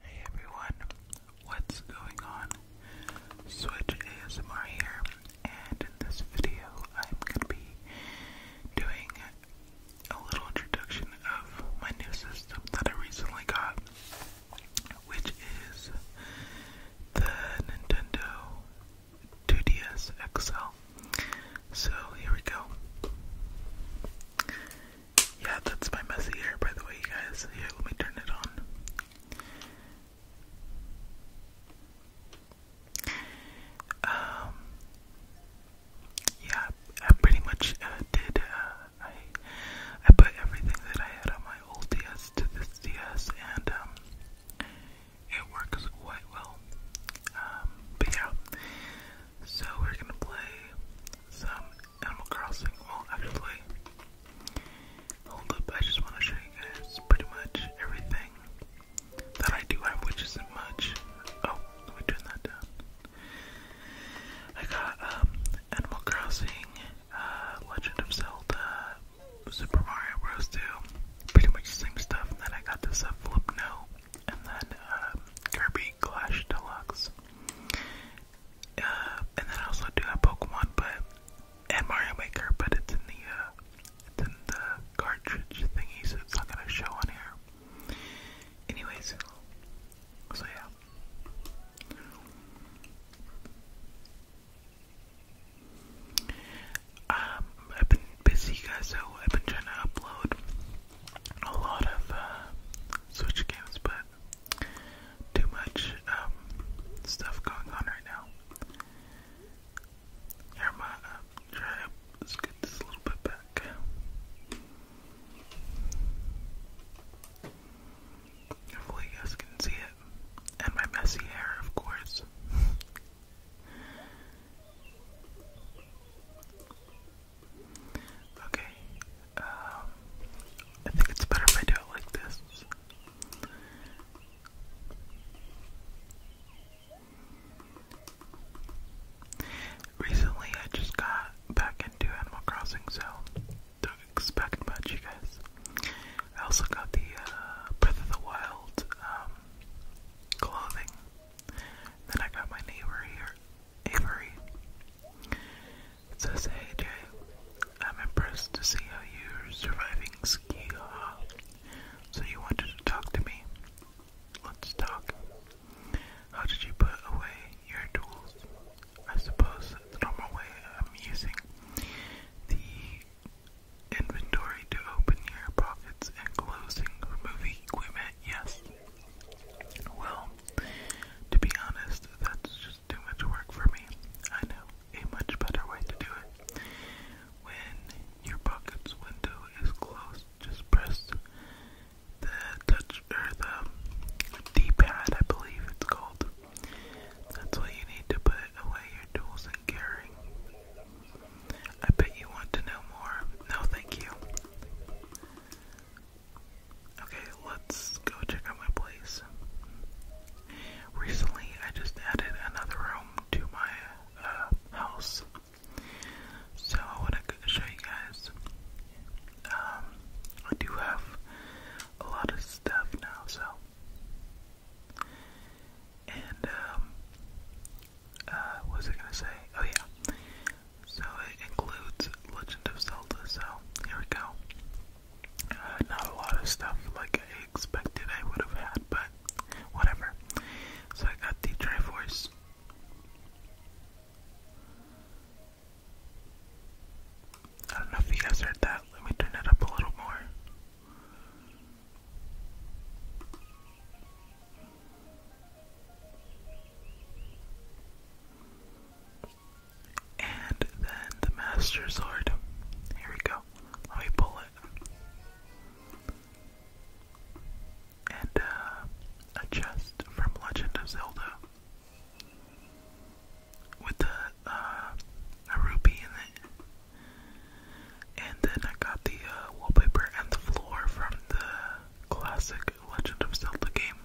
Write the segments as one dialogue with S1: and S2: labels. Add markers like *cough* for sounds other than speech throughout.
S1: Hey everyone, what's going on? Switch ASMR here, and in this video I'm gonna be doing a little introduction of my new system that I recently got, which is the Nintendo 2DS XL. So here we go. Yeah, that's my messy hair, by the way, you guys. Here, let me turn it on. Um, yeah, I pretty much uh, did. Uh, I I put everything that I had on my old DS to this DS, and um, it works quite well. Um, but yeah, so we're gonna play some Animal Crossing. Well, actually, hold up. I just want to show you guys pretty much everything that I do have, which isn't much. Oh, let me turn that down. I got um, Animal Crossing, uh, Legend of Zelda, Super Mario Bros. 2, pretty much the same stuff. then I got this uh, Flip and then um, Kirby Clash Deluxe. Uh, and then also do have Pokemon, but and Mario Maker, but it's in the uh, it's in the cartridge thingy, so it's not gonna show on here. Anyways, so yeah. Um, I've been busy, guys, so I've been trying to upload a lot of uh, Switch games, but too much um, stuff going on right now. Here, my uh, try. let get this a little bit back. Hopefully, you guys can see it, and my messy hair, of course. *laughs* Okay, um, I think it's better if I do it like this. Recently, I just got back into Animal Crossing, so don't expect much, you guys. I also got the uh, Breath of the Wild um, clothing. Then I got my neighbor here, Avery. It says, Hey Jay, I'm impressed to see how you're surviving ski haw. So you wanted to talk to me? Let's talk. How did you put away your tools? I suppose the normal way I'm using the inventory to open your pockets and closing removing equipment, yes. Well, to be honest, that's just too much work for me. I know a much better way to do it. When your pocket's window is closed, just press the touch or the D-pad, I believe it's called. That's what you need to put away your tools and gearing I bet you want to know more. No, thank you. Okay, let's go check out my place. Recently, I just added another room to my uh, house, so I want to show you guys. Um, I do have a lot of stuff now, so. And, um, uh, what was I gonna say? Oh yeah. So it includes Legend of Zelda, so here we go. Uh, not a lot of stuff like I expected I would have had, but whatever. So I got the Triforce. I don't know if you guys heard that. Let me turn it up a little more. And then the Master Sword. Here we go. Let me pull it. And uh, a chest from Legend of Zelda. With a, uh, in it. And then I got the uh, wallpaper and the floor from the classic Legend of Zelda game,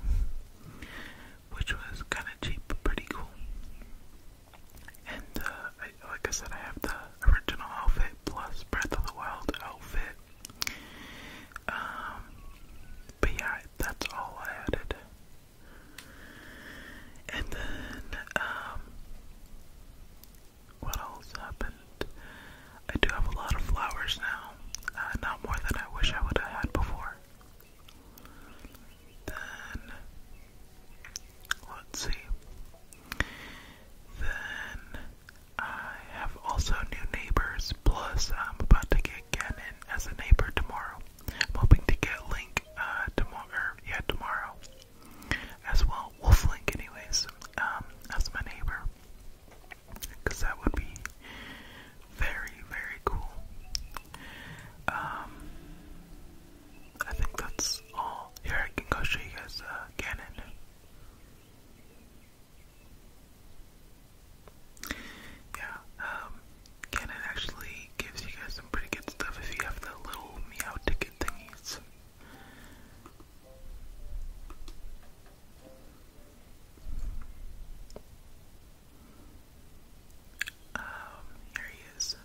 S1: which was kind of cheap but pretty cool. And uh, like I said, I have the original outfit plus Breath of the Wild outfit. Um, but yeah, that's all I added. And then, um, what else happened? I do have a lot of flowers now, uh, not more than I wish I would have had before. Then, let's see. Then, I have also new neighbors, plus I'm about to get Gannon as a neighbor tomorrow. hoping to get Link uh, tomorrow, yeah, tomorrow as well. Wolf Link, anyways, um, as my neighbor, because that would be very, very cool. Um, I think that's all. Here, I can go show you guys uh, Ganon. Yeah, um, Ganon actually gives you guys some pretty good stuff if you have the little meow ticket thingies. Um, here he is.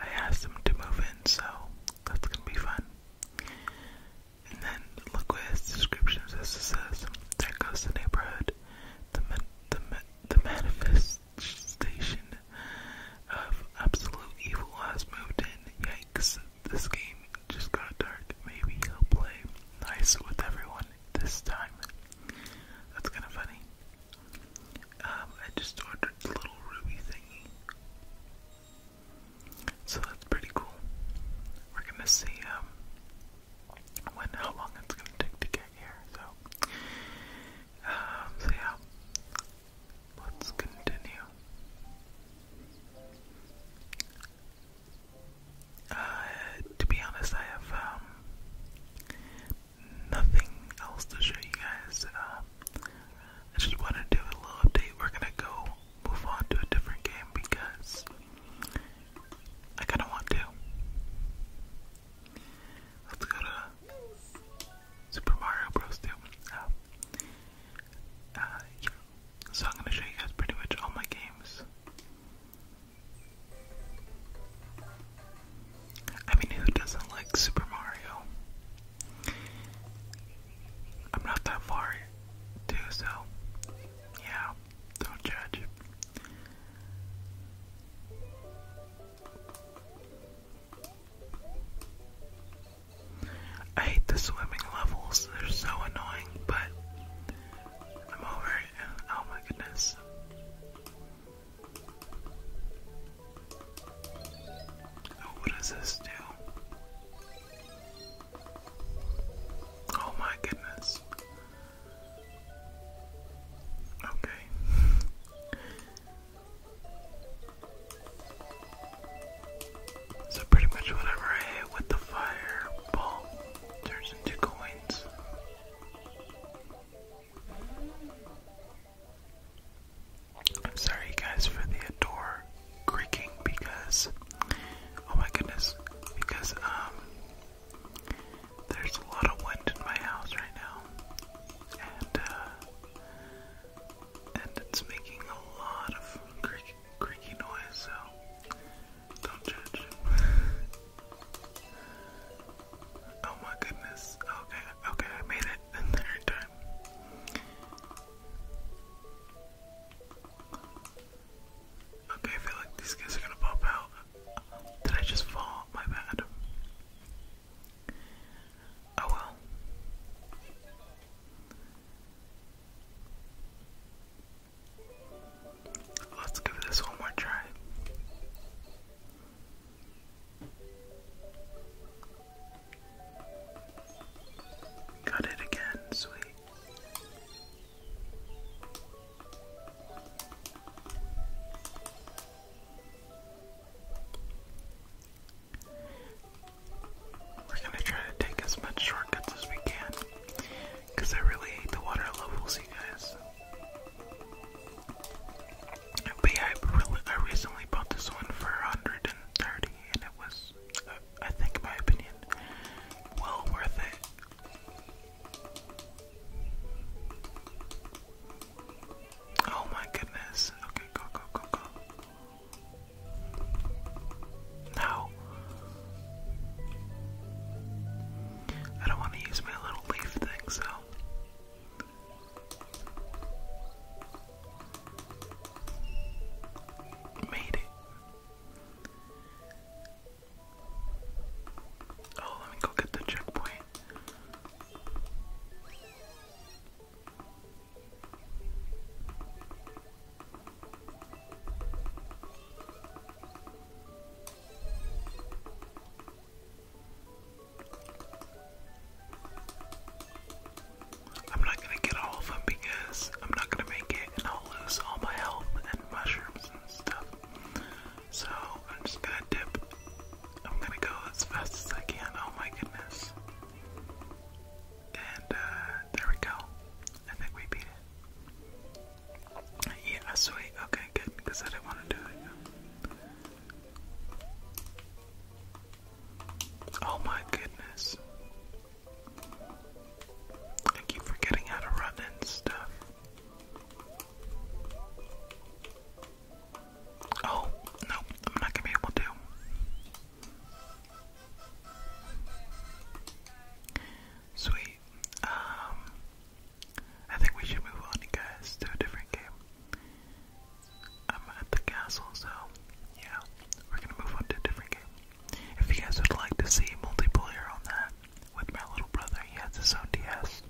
S1: I asked him to move in, so that's gonna be fun. And then look what his description says. It says, there goes the neighborhood. The, the, the manifest station of absolute evil has moved in. Yikes, this game just got dark. Maybe he'll play nice with everyone this time. That's kind of funny. Um, I just ordered the little ruby thingy. So that's pretty cool. We're gonna see um, when how long it's gonna take to get here, so um so yeah. Let's continue. Uh, to be honest, I have um, nothing else to show you guys. Uh, I just wanted to do a little update. We're gonna go move on to a different game because I kind of want to. Let's go to Super Mario Bros. 2. Um, uh, uh, So I'm going to show you guys pretty much all my games. I mean, who doesn't like Super Mario? I'm not that far, too, so yeah, don't judge. I hate the swimming levels, they're so annoying, but I'm over it. Oh my goodness. Oh, what does this do? Oh my goodness. Okay. So pretty much whatever I hit with the fireball turns into coins. I'm sorry guys for the door creaking because oh my goodness because um there's a lot of wind in my house right now, and uh, and it's making a lot of creaky, creaky noise. So don't judge. *laughs* oh my goodness. Okay, okay, I made it in the third time. Okay, I feel like these guys are gonna pop out. Did I just fart? My bad. Oh well. Let's give this one more try. Got it again, sweet. We're gonna try to take as much shortcuts as we can, because I really hate the water levels, you guys. But I, really, I recently bought this one for 130 and it was, uh, I think in my opinion, well worth it. Oh my goodness. Okay, go, go, go, go. No. I don't want to use my little leaf thing, so. Made it. Oh, let me go get the checkpoint. I'm not gonna get all of them because I'm not gonna make it and I'll lose all my health and mushrooms and stuff. So I'm just gonna dip. I'm gonna go as fast as I can. Oh my goodness. And uh, there we go. I think we beat it. Yeah, sweet. Okay, good. Because I didn't want to do it. Oh my goodness. I keep forgetting how to run and stuff. Oh, no, I'm not gonna be able to. Sweet. Um, I think we should move on, you guys, to a different game. I'm at the castle, so yeah, we're gonna move on to a different game. If you guys would like to see multiplayer on that, with my little brother. He has his own DS.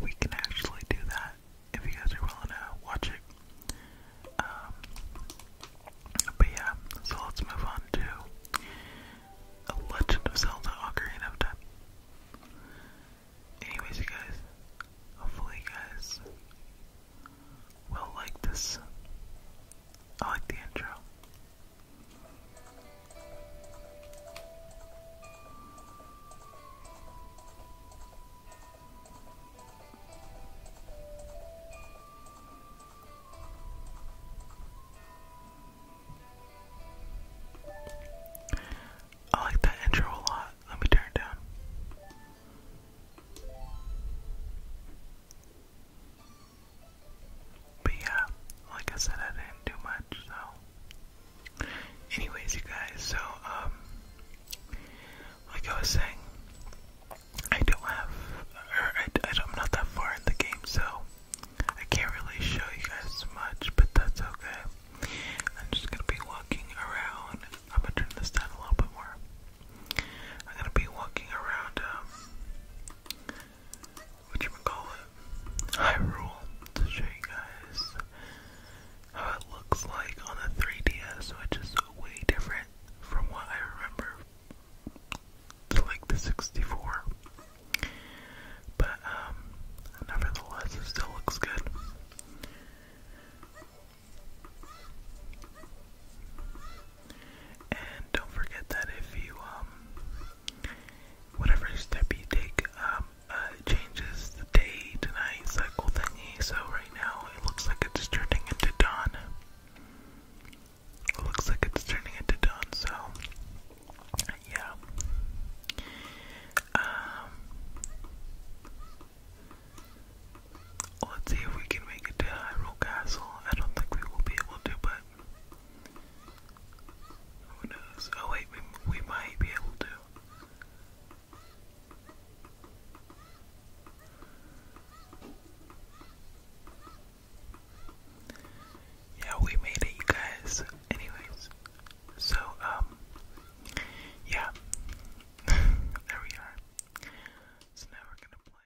S1: We can actually do that if you guys are willing to watch it. Um, but yeah, so let's move on to Legend of Zelda Ocarina of Time. Anyways, guys, hopefully guys will like this. I like the intro. I like that intro a lot. Let me turn it down. But yeah, like I said, I didn't do much, so. Anyways, you guys, so, um, like I was saying, I don't have, or I, am not that far in the game, so I can't really show you guys much, but that's okay. I'm just gonna be walking around. I'm gonna turn this down a little bit more. I'm gonna be walking around, um, what you would call it, Hyrule to show you guys how it looks like on the 3DS, which is way different from what I remember to like the 64. But um, nevertheless, it still looks good. And don't forget that if you, um, whatever step you take, um, uh, changes the day to night cycle thingy. So right now it looks like it's turning into dawn. It looks like it's turning into dawn, so yeah. Um, let's see if we can make it to Hyrule Castle. I don't think we will be able to, but who knows? Oh wait, we, might be able to. Yeah, we made it, guys. Anyways, so, um, yeah. *laughs* there we are. So now we're gonna play.